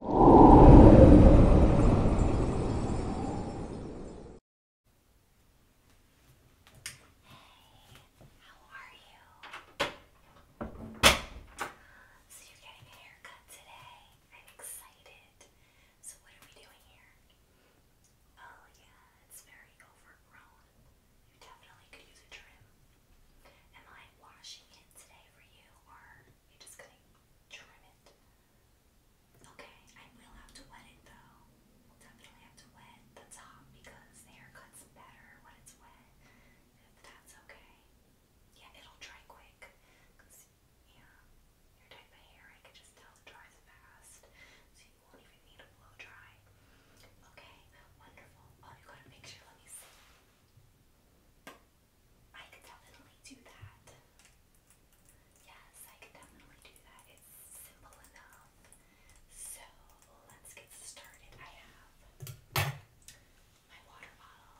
How are you? So you're getting a haircut today. I'm excited. So what are we doing here? Oh yeah, it's very overgrown. You definitely could use a trim. Am I washing it today for you or you're just gonna trim it. Okay, I will have to wet it though. definitely have to wet the top because the haircut's better when it's wet. If that's okay. Yeah, it'll dry quick. yeah, your type of hair, I can just tell dries fast. So you won't even need a blow dry. Okay, wonderful. Oh, you got a picture? Let me see. I could definitely do that. Yes, I could definitely do that. It's simple enough. So let's get started. I have my water bottle.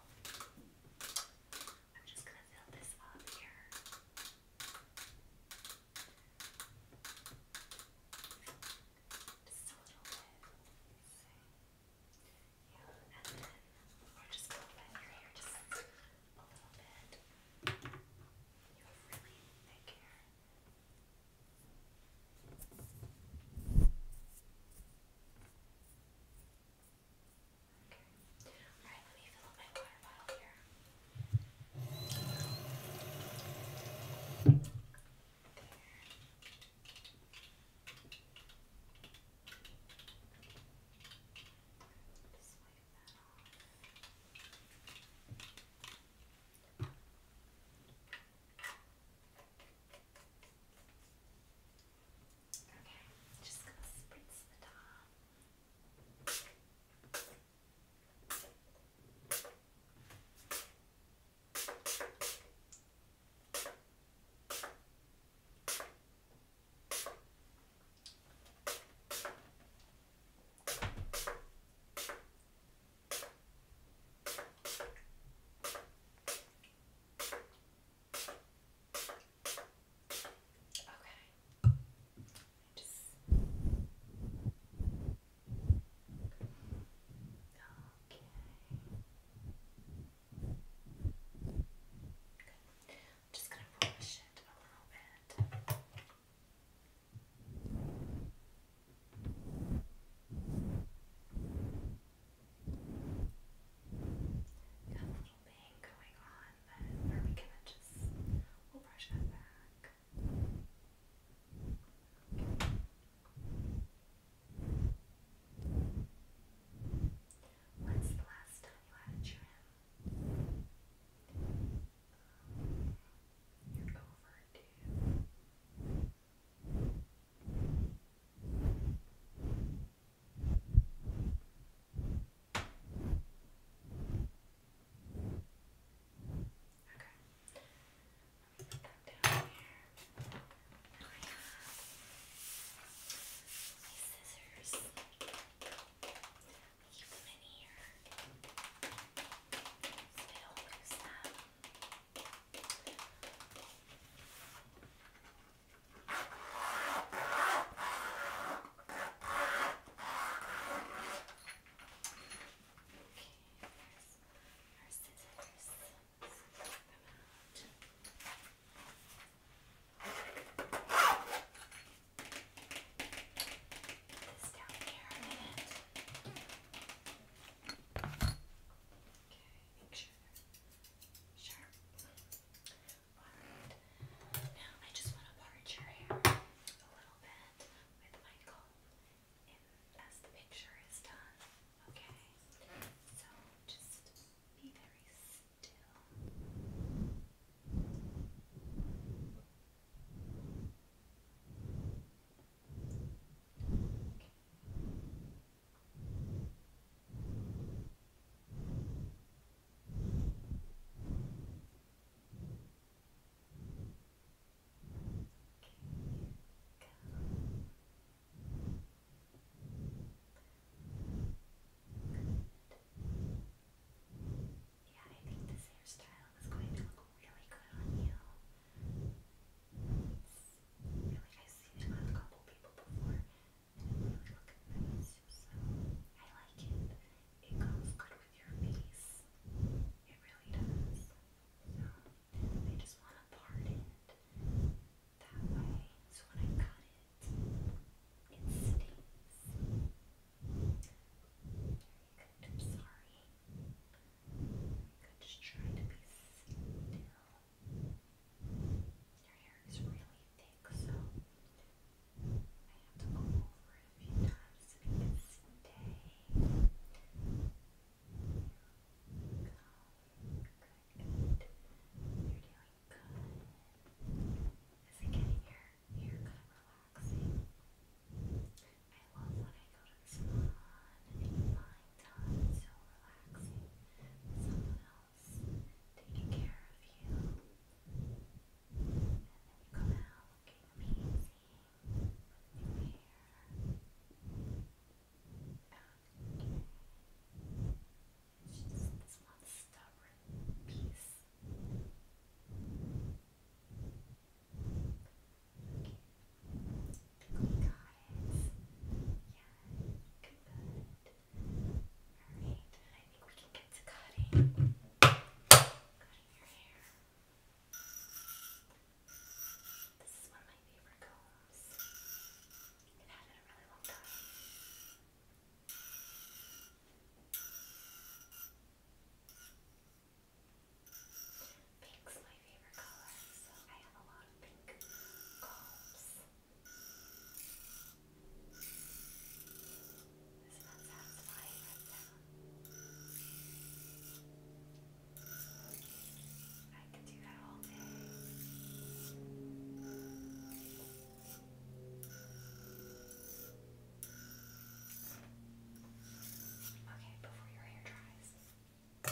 I'm just gonna fill this up here. Just a little bit. Let's see. Yeah, and then we're just gonna let your hair just a little bit. You have really thick hair. Okay. Alright, let me fill up my water bottle here. Just wipe that off. Okay, just gonna spritz the top. Okay, Okay. I just Okay just going to brush it a little bit. a little bang going on, but we going just we'll brush that back. Okay. When's the last time you had a trim? you're overdue. Okay. Put that down here. And I have my scissors. I keep them in here. So they don't lose them. Okay, there's our scissors. So them out. Put this down here a minute. Okay, make sure they're sharp. Alright, now I just want to part your hair a little bit with my comb as the picture is done, okay? So just be very still. Okay. Yeah, I think this hairstyle is going to look really good on you. really, I've seen it on a couple people before, and it really looks nice, so I like it. It goes good with your face. It really does. So they just want to part it that way. So when I cut it, it stinks. I'm sorry. Good, just try to be still. Your hair is really thick, so I have to go over a few times so we Good, You're doing good. Is it getting your hair kind of relaxing? I love when I go to the salon so relaxing. Someone else taking care of you. And then you come out looking amazing. It's just this one stubborn piece. Okay. Cool guys. Yeah, good. Alright, I think we can get to cutting. Cutting your hair. This is one of my favorite combs. I've had it a really long time. Pink's my favorite color, so I have a lot of pink combs. This isn't that satisfying that sound? I could do that all day. Okay, before your hair dries, we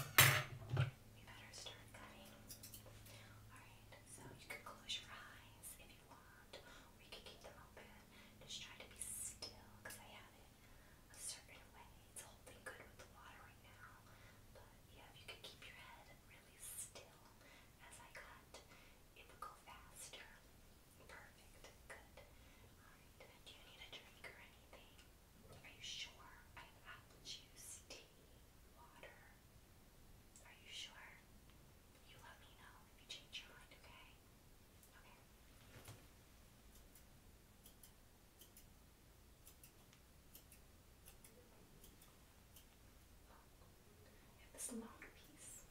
better start cutting. Alright, so you can close your eyes if you want, or you can keep them open. Just try to be still I have it a certain way. It's holding good with the water right now. But yeah, if you can keep your head really still as I cut, it will go faster. Perfect. Good. Alright. Do you need a drink or anything? Are you sure? I have apple juice, tea, water. Are you sure? You let me know if you change your mind, okay? And this long piece.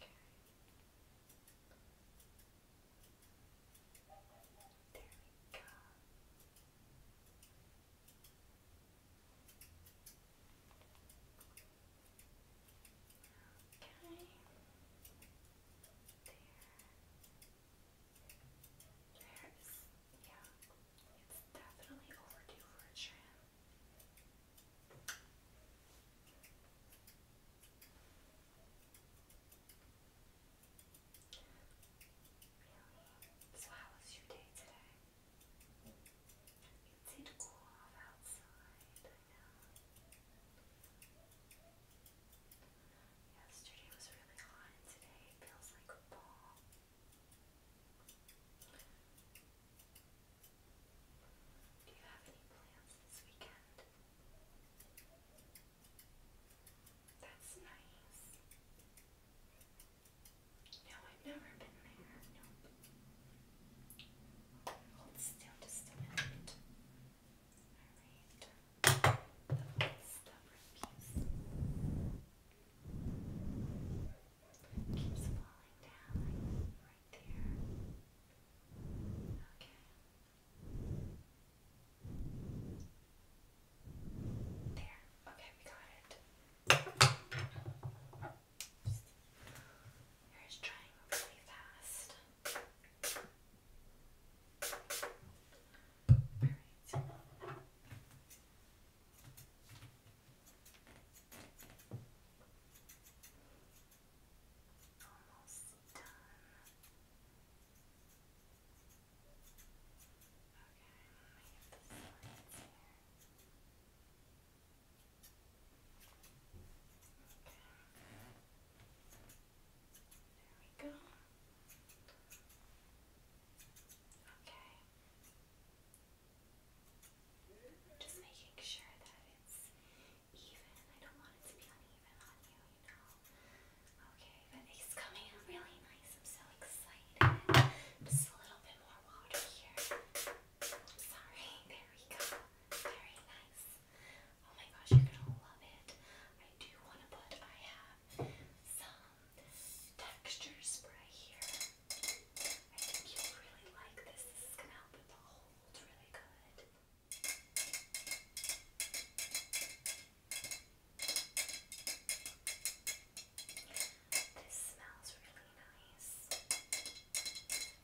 Okay. There we go. Okay. There. There is, yeah, it's definitely overdue for a trim. Really? So how was your day today? It's it cool off outside, Yesterday was really hot and today it feels like a ball. Do you have any plans this weekend? That's nice. No, I've never been there. Nope. Hold still just a minute. Alright. The stubborn piece keeps falling down right there. Okay. There. Okay, we got it. Hair is drying really fast. Alright. Almost done. There we go. Okay. Just making sure that it's even. I don't want it to be uneven on you, you know. Okay, but coming out really nice. I'm so excited. Just a little bit more water here. I'm sorry. There we go. Very nice. Oh my gosh, you're gonna love it. I do want to put, I have some texture spray here. I think you'll really like this. This is gonna help with hold really good. This smells really nice.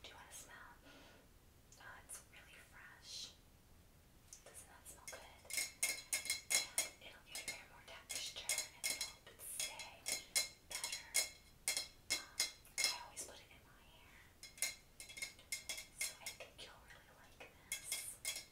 Do you want to smell? Oh, it's really fresh. Doesn't that smell good? And it'll give your hair more texture and it'll help it stay better. Um, I always put it in my hair. So I think you'll really like this.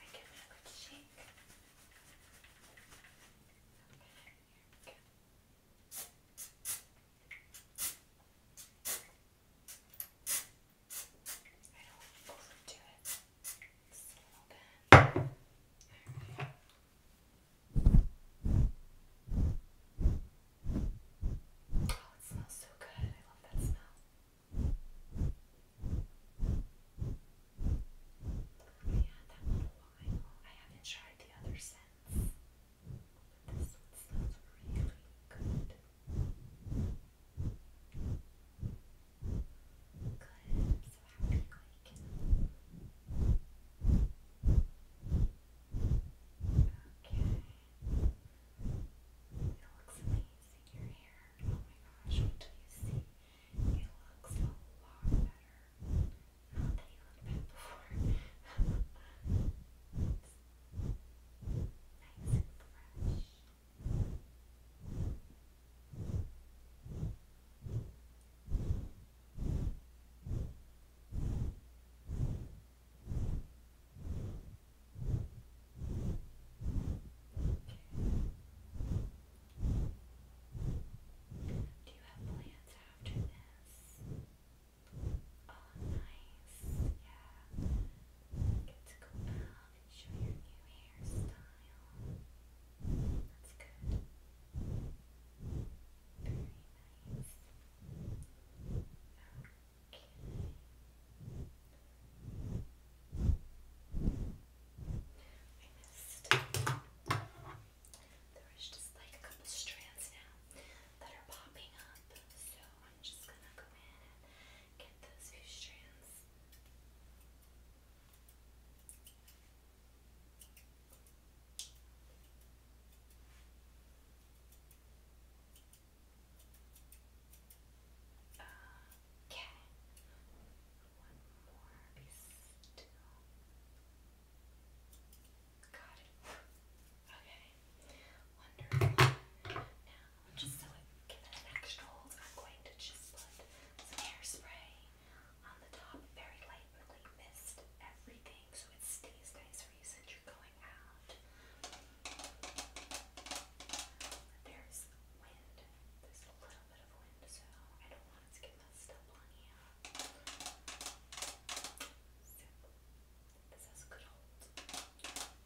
I can have it shake. Okay, here we go. I don't want to overdo it. Just a little bit. Okay. Oh, it smells so good. I love that smell. Okay. Yeah, that one I haven't tried the other scents. But this one smells really good. Good. so happy I can. Okay. It looks amazing. Your hair. Oh my gosh, what do you see? He looks a lot better. Not that he looked bad before. nice and fresh. Do you have plans after this? Oh, nice. Yeah. Get to go out and show your new hairstyle. That's good. Very nice. Okay. I missed. There is just like a couple strands now that are popping up, so I'm just gonna go in and get those few strands. Okay. One more. Be Got it. Okay. Wonderful. Now, just so it gives it an extra hold, I'm going to just put some hairspray on the top very lightly. Mist everything so it stays nice for you since you're going out. There's wind. There's a little bit of wind, so I don't want to get messed up you. extra hold. I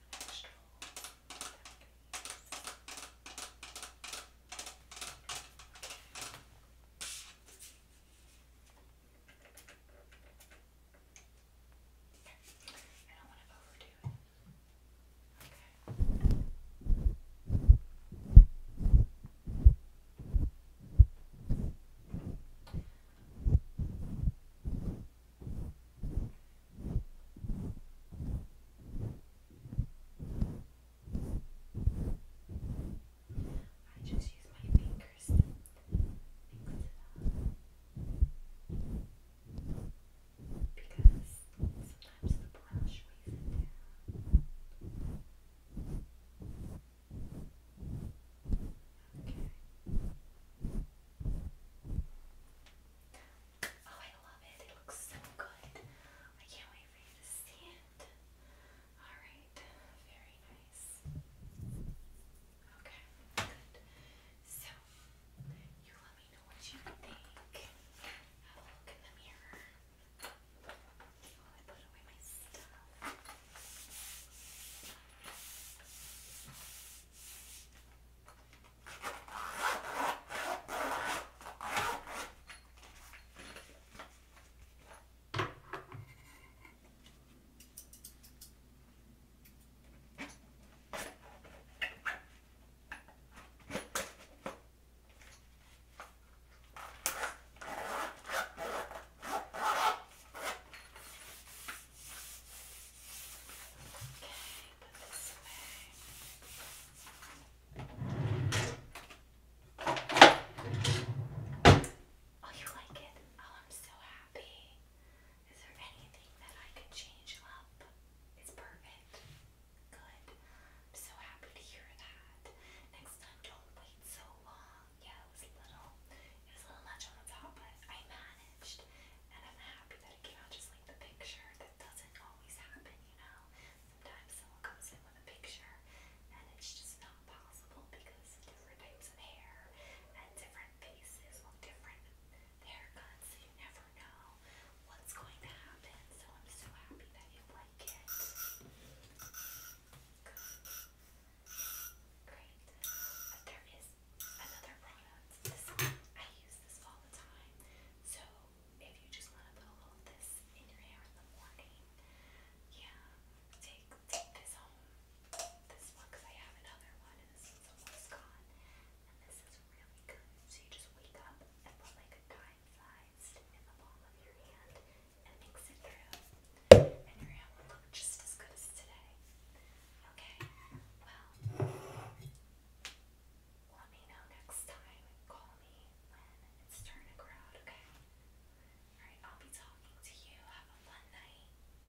don't want to overdo it. I just use my fingers. Mix it up because sometimes the brush weighs it down. Okay. Oh, I love it. It looks so good. I can't wait for you to see it. Alright, very nice. Okay, good. So, you let me know what you think. Have a look in the mirror while oh, I put away my stuff. All Oh, you like it? Oh, I'm so happy. Is there anything that I could change up? It's perfect. Good. I'm so happy to hear that. Next time, don't wait so long. Yeah, it was a little, it was a little much on the top, but I managed, and I'm happy that it came out just like the picture. That doesn't always happen, you know. Sometimes someone comes in with a picture, and it's just not possible because different types of hair and different faces look different their guns, you never know what's going to happen. So I'm so happy that you like it. Good. Great. But there is another product. This I use this all the time. So if you just want to put a little this in your hair in the morning, yeah, take, take this home. This one, I have another one this since someone's gone. And this is really good. So you just wake up and put like a dime sized in the palm of your hand and mix it through. And your hand will look just as good as today. Okay, well, let me know next time. Call me when it's turning around, okay? Alright, I'll be talking to you. Have a fun night.